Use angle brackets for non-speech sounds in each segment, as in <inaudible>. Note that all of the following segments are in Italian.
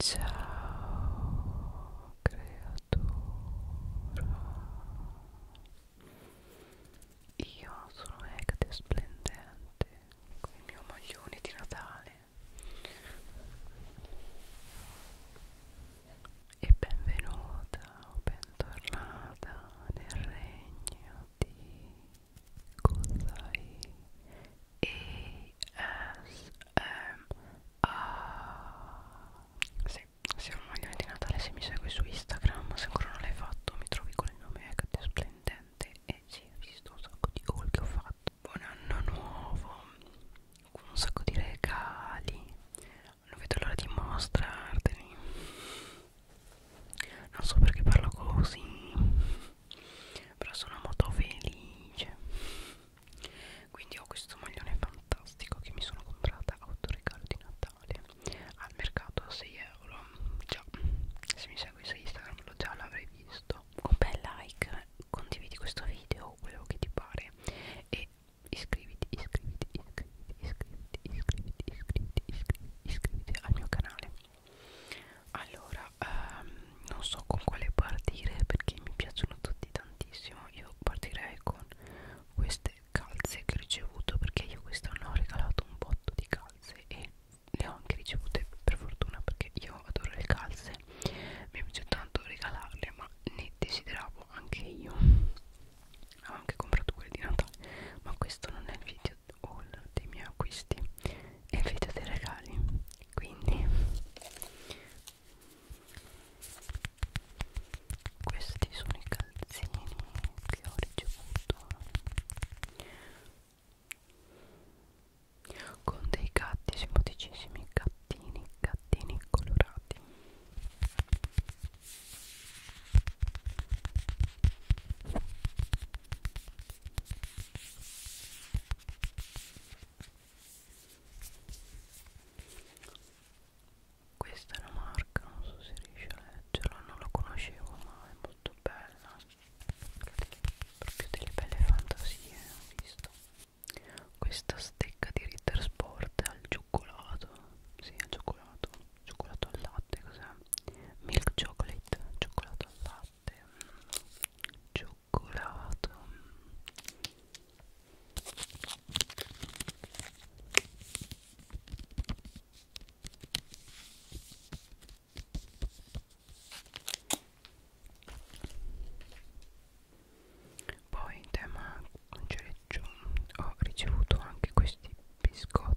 Ciao creatura Io sono Ecte Splendente con il mio maglione di Natale e benvenuta o bentornata nel regno di Kozai e sì, siamo maglioni di Natale se mi segui su Instagram, se ancora non l'hai fatto mi trovi con il nome Ecate Splendente e sì, ho visto un sacco di haul che ho fatto. Buon anno nuovo, un sacco di regali, non vedo l'ora di mostrarteli. Non so perché parlo così però sono molto felice quindi ho questo maglione fantastico che mi sono comprata autoregalo di Natale al mercato a 6 euro già se mi segui su Instagram lo già l'avrei visto un bel like condividi questo video quello che ti pare e iscriviti iscriviti iscriviti iscriviti iscriviti iscriviti iscriviti, iscriviti al mio canale allora ehm, non so con quale partire perché mi piacciono tutti tantissimo io partirei con queste calze che ho ricevuto perché io quest'anno ho regalato un botto di calze e le ho anche ricevute per fortuna perché io adoro le calze mi piace tanto regalarle ma ne desideravo anche io ho anche comprato quelle di Natale ma questo non è il video haul dei miei acquisti è il video dei regali quindi questi sono i calzini che ho ricevuto con dei gatti simpaticissimi gattini gattini colorati questa è una marca, non so se riesci a leggerla, non la conoscevo ma è molto bella Proprio delle belle fantasie, ho visto Questa stecca di Ritter Sport al cioccolato Sì, al cioccolato, cioccolato al latte, cos'è? Milk chocolate, cioccolato al latte latte cioccolato poi in tema cereggio ho ricevuto anche questi biscotti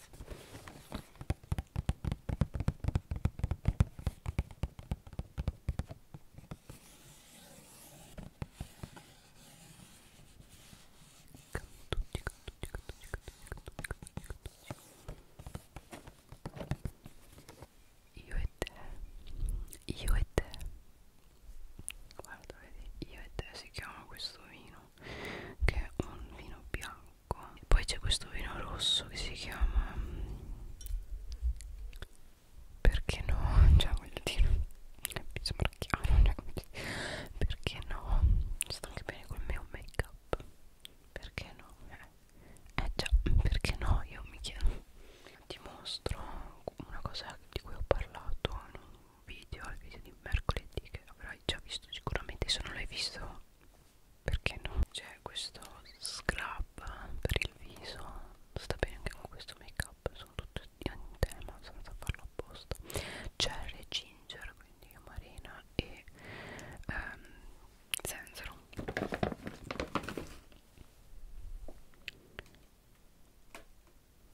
Cantucci, cantucci, cantucci, cantucci, cantucci, cantucci. Io e te, io e te. Guarda, vedi, io e te si chiama questo vino che è un vino bianco bianco e poi c'è questo vino rosso che si chiama mm, perché no cioè <laughs> voglio dire mi sembra chiaro cioè, perché no sta anche bene col mio make up perché no eh, eh già perché no io mi chiedo ti mostro una cosa di cui ho parlato in un video il video di mercoledì che avrai già visto sicuramente se non l'hai visto perché no? C'è questo scrub per il viso, sta bene anche con questo make up, sono tutte in tema senza farlo apposta. Cherry e ginger, quindi amarena e ehm, zenzero.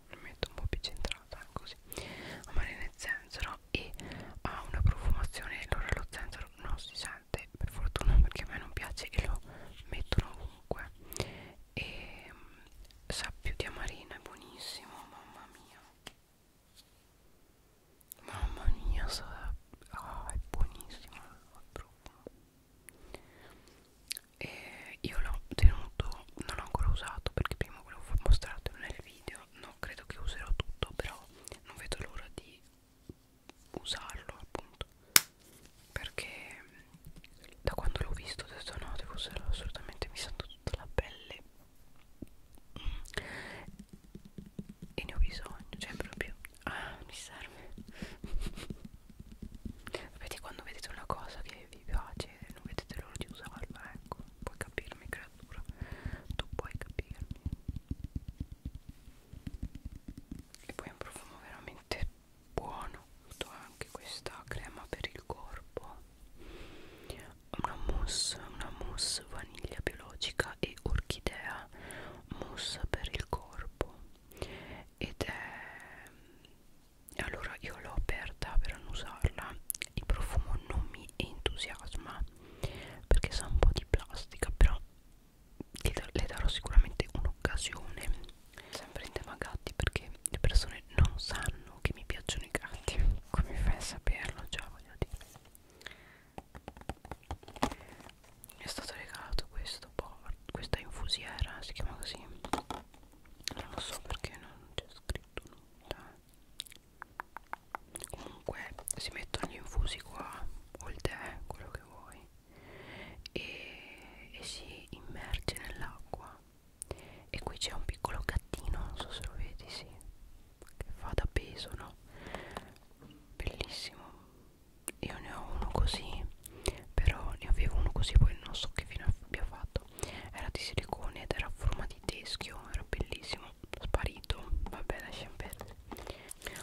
Lo metto un po' più centrata così cose ha marina e zenzero e ha una profumazione allora lo zenzero non si sente per fortuna perché a me non piace e lo mettono ovunque e mm, sa più di amarina è buonissimo mamma mia mamma mia sa, oh, è buonissimo il profumo e io l'ho tenuto non l'ho ancora usato perché prima volevo mostrartelo nel video altro non credo che userò tutto però non vedo l'ora di usarlo appunto perché mm, da quando l'ho visto ho detto no devo usarlo assolutamente mi sento tutta la pelle mm. e ne ho bisogno cioè proprio ah mi serve sapete <laughs> quando vedete una cosa che vi piace non vedete l'ora di usarla ecco puoi capirmi credo natura tu puoi capirmi e poi è un profumo veramente buono ho anche questa crema per il corpo una mousse una mousse vaniglia biologica e orchidea mousse per il corpo ed è allora io l'ho aperta per annusarla il profumo non mi entusiasma perché sa un po' di plastica però le darò sicuramente un'occasione sempre in tema gatti perché le persone non sanno che mi piacciono i gatti come fai a saperlo già voglio dire mi è stato regalato questo board, questa infusiera si chiama così non lo so perché non c'è scritto nulla comunque si mettono gli infusi qua o il tè quello che vuoi e, e si immerge nell'acqua e qui c'è un piccolo gattino non so se lo vedi sì che fa da peso no bellissimo io ne ho uno così però ne avevo uno così poi non so che fine abbia fatto ricordo era di silicone ed era a forma di teschio era bellissimo sparito vabbè lasciamo perdere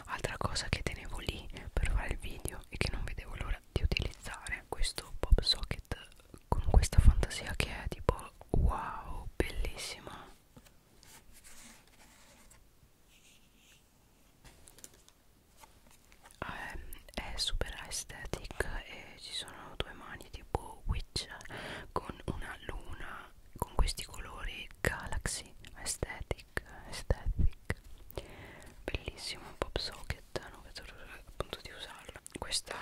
altra cosa che tenevo lì per fare il video e che non vedevo l'ora di utilizzare questo pop socket con questa fantasia che è tipo wow bellissima ah, è super aesthetic e ci sono due mani strani tipo witch con una luna con questi colori galaxy aesthetic aesthetic bellissimo pop socket non vedo appunto di usarlo questa,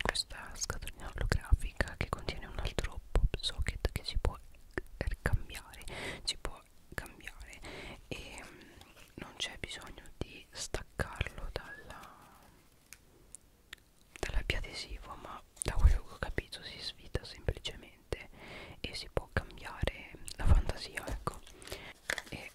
questa scatolina olografica che contiene un altro pop socket che si può cambiare si può cambiare e mm, non c'è bisogno di staccarlo dalla dall'appiadesivo ma da quello che ho capito si svita semplicemente e si può cambiare la fantasia ecco e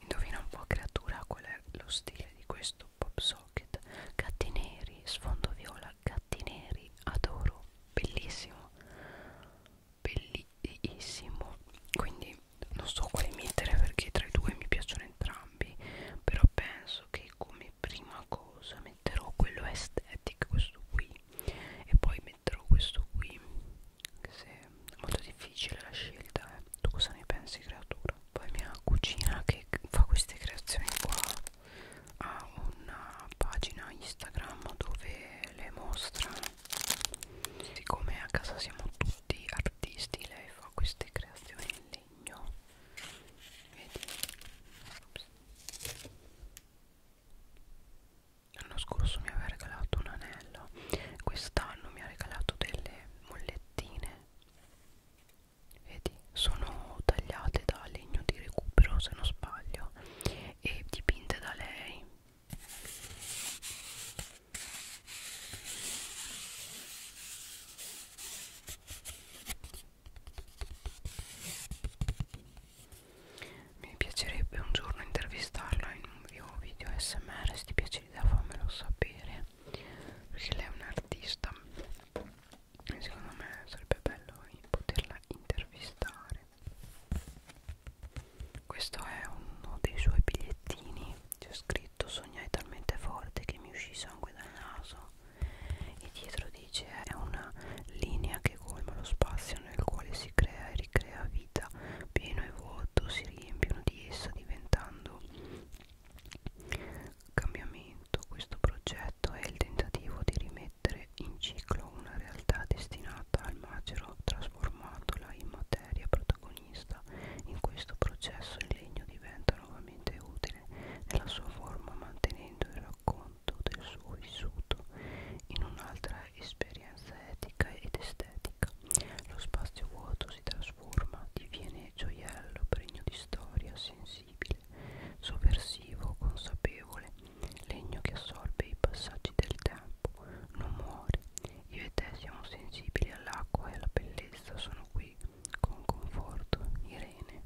indovina un po' creatura qual è lo stile di questo pop socket gatti neri sfondo viola gatti neri adoro bellissimo bellissimo quindi non so quale mettere perché tra i due mi piacciono entrambi però penso che come prima cosa metterò quello aesthetic questo qui e poi metterò questo qui che se è molto difficile la scelta eh. tu cosa ne pensi creatura poi mia cugina che fa queste creazioni qua ha una pagina instagram dove le mostra siccome a casa siamo tutti di artisti lei fa queste creazioni in legno vedi Ops. l'anno scorso mi aveva regalato un anello quest'anno mi ha regalato delle mollettine vedi sono tagliate da legno di recupero se non sbaglio e dipinte da lei mi piacerebbe un giorno intervistarla in un mio video smr, se ti piace l'idea fammelo sapere, perché lei è un'artista e secondo me sarebbe bello poterla intervistare. Questo è uno dei suoi bigliettini c'è scritto sognai talmente forte che mi uscì sangue dal naso e dietro dice è una linea che colma lo spazio nel quale si crea e ricrea vita pieno e vuoto si riempiono di essa diventando cambiamento questo progetto è il tentativo di rimettere in ciclo una realtà destinata al macero trasformandola in materia protagonista. In questo processo il legno diventa nuovamente utile nella sua forma mantenendo il racconto del suo vissuto in un'altra esperienza etica ed estetica. Lo spazio vuoto si trasforma, diviene gioiello pregno di storia, sensibile, sovversivo, consapevole, legno che assorbe i passaggi del tempo, non muore, io e te siamo sensibili all'acqua e alla bellezza, sono qui con conforto. Irene,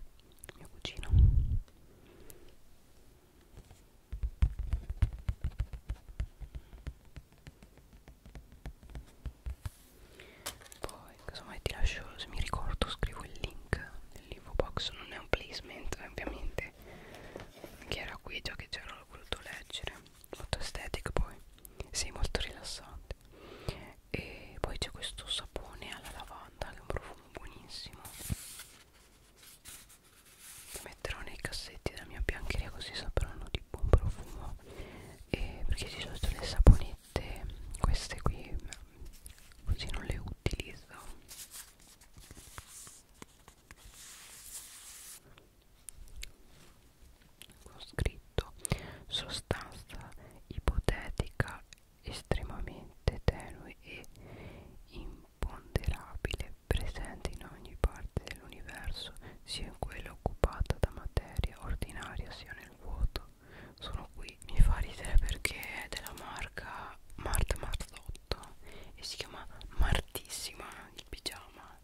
mio cugino. Poi, casomai ti lascio, se mi ricordo, scrivo il link nell'info box, non è un placement, ovviamente. Chi era qui già che c'era l'ho voluto leggere molto estetica poi sì molto rilassante e poi c'è questo sapone alla lavanda che è un profumo buonissimo lo metterò nei cassetti della mia biancheria così sapranno di buon profumo e perché di solito le saponette queste qui così non le utilizzo con scritto sostanza ipotetica estremamente tenue e imponderabile presente in ogni parte dell'universo sia in quella occupata da materia ordinaria sia nel vuoto sono qui mi fa ridere perché è della marca Marta Marzotto e si chiama Martissima il pigiama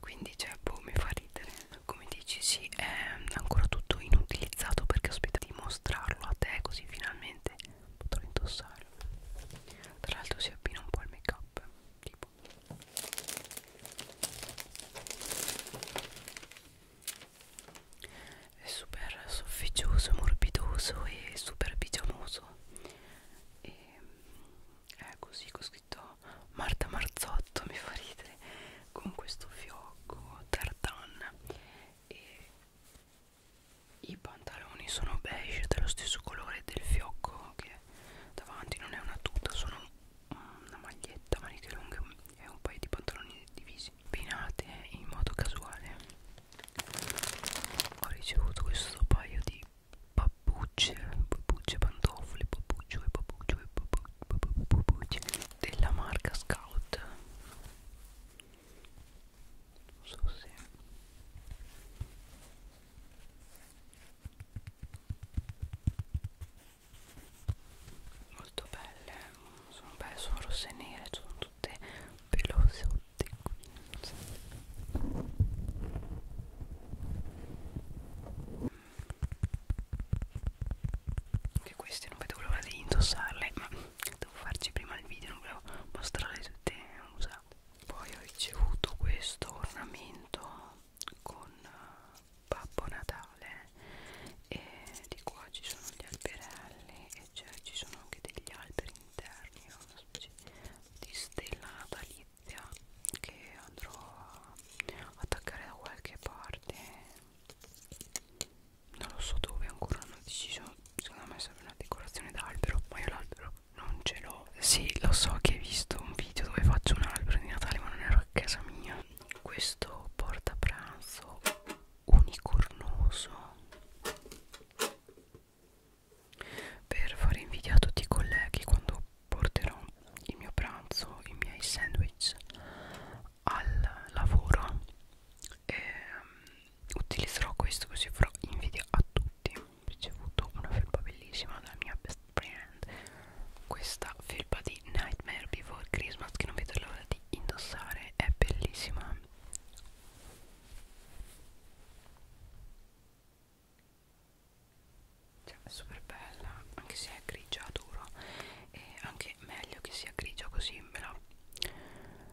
quindi cioè boh mi fa ridere come dici sì è ancora tutto inutilizzato perché aspetta di mostrarlo a te così finalmente potrò indossarlo tra l'altro si abbina un po' al make up tipo è super sofficioso morbidoso e super pigiamoso e è eh, così ho scritto Marta Marzotto mi fa ridere con questo fiocco tartan e i pantaloni sono beige dello stesso colore del fiocco che davanti non è una tuta sono una maglietta maniche lunghe e un paio di pantaloni divisi pinate in modo casuale ho ricevuto questo paio di Babbucce, babbucce pantofole, babbuccio e babbuccio e babbuccio della marca Scout. Non so se molto belle, sono belle, sono rosse e nere, sono tutte pelose tutti anche questi non vedo l'ora di indossarle ma devo farci prima il video non volevo mostrarle tutte usate poi ho ricevuto questo ornamento con eh, Babbo Natale e di qua ci sono gli alberelli e cioè ci sono anche degli alberi interni è una specie di stella natalizia che andrò a attaccare da qualche parte non lo so dove ancora non ho deciso secondo me serve una decorazione d'albero ma io l'albero non ce l'ho sì lo so che hai visto un video dove faccio un albero di Natale ma non ero a casa mia questo portapranzo unicornoso per fare invidia a tutti i colleghi quando porterò il mio pranzo, i miei sandwich al lavoro e mm, utilizzerò questo così farò invidia a tutti ho ricevuto una felpa bellissima dalla mia best friend questa felpa di Nightmare Before Christmas che non vedo l'ora di indossare è bellissima cioè è super bella anche se è grigia duro e anche meglio che sia grigia così me la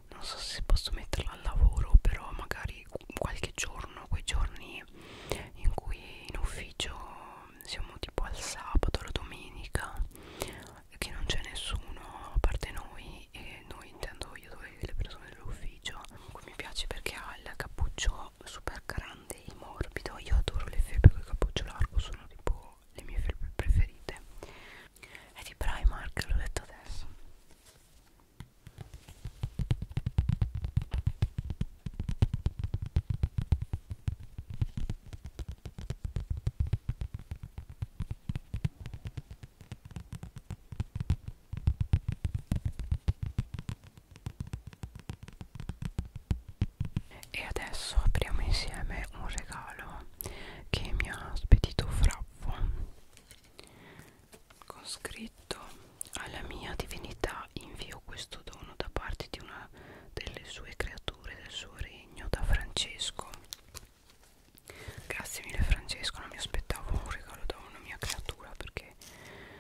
non so se posso metterla al lavoro però magari qualche giorno quei giorni in cui in ufficio siamo tipo al sabato la domenica che non c'è nessuno a parte noi noi e noi intendo io dove le persone dell'ufficio comunque mi piace perché ha il cappuccio super grande e morbido io adoro le felpe con il cappuccio largo sono tipo le mie felpe preferite è di Primark l'ho detto adesso e adesso apriamo insieme un regalo che mi ha spedito Fraffo con scritto alla mia divinità invio questo dono da parte di una delle sue creature del suo regno da Francesco Grazie mille Francesco, non mi aspettavo un regalo da una mia creatura perché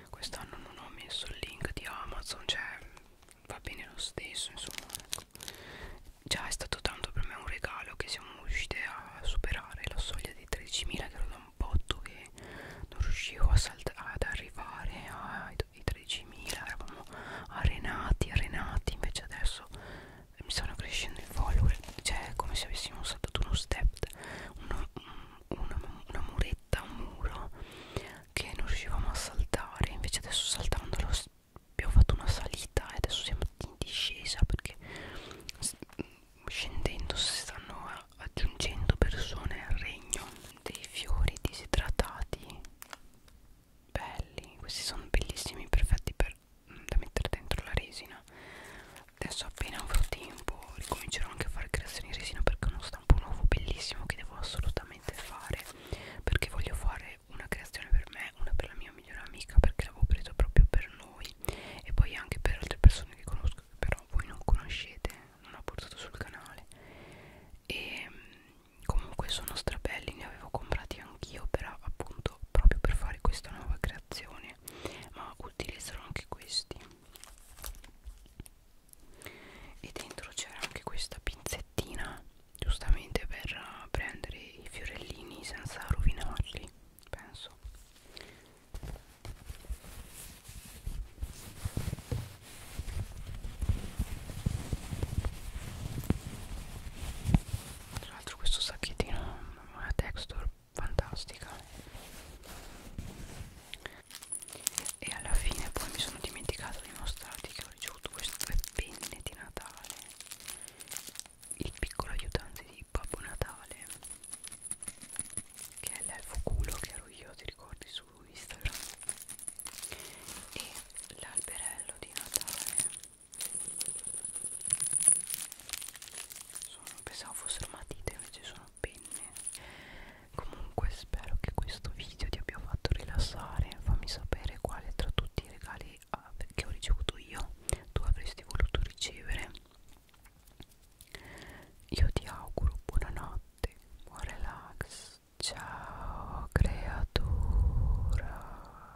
quest'anno non ho messo il link di Amazon, cioè va bene lo stesso, insomma. Ecco. Già è stato tanto per me un regalo che siamo riusciti a superare la soglia di 13.000 che ero da un botto che non riuscivo ad arrivare ai 13.000, eravamo arenati, arenati, invece adesso mi stanno crescendo i follower cioè è come se avessimo saltato uno step una, una, una muretta un muro che non riuscivamo a saltare invece adesso saltandolo abbiamo fatto una salita e adesso siamo in discesa perché scendendo si stanno aggiungendo persone al regno dei fiori disidratati belli questi sono bellissimi perfetti per per, da mettere dentro la resina adesso appena avrò tempo ricomincerò anche a fare creazioni in resina perché è uno stampo nuovo bellissimo che devo assolutamente fare perché voglio fare una creazione per me una per la mia migliore amica perché l'avevo preso proprio per noi e poi anche per altre persone che conosco che però voi non conoscete non ho portato sul canale e ehm, comunque sono strabelli ne avevo comprati anch'io però appunto nudo proprio per fare questa nuova creazione ma utilizzerò anche questi e dentro c'era anche questa pinzettina giustamente per eh, prendere i fiorellini senza rovinarli penso tra l'altro questo sacchettino una texture fantastica e alla fine poi mi sono dimenticato di mostrarti che ho ricevuto queste due penne di Natale il piccolo aiutante di Babbo Natale che è l'elfo culo che ero io ti ricordi su Instagram e l'alberello di Natale sono, pensavo fossero matite invece sono penne comunque spero che questo video ti abbia fatto rilassare fammi sapere quale tra tutti i regali ah, che ho ricevuto io tu avresti voluto ricevere io ti auguro buonanotte buon relax ciao creatura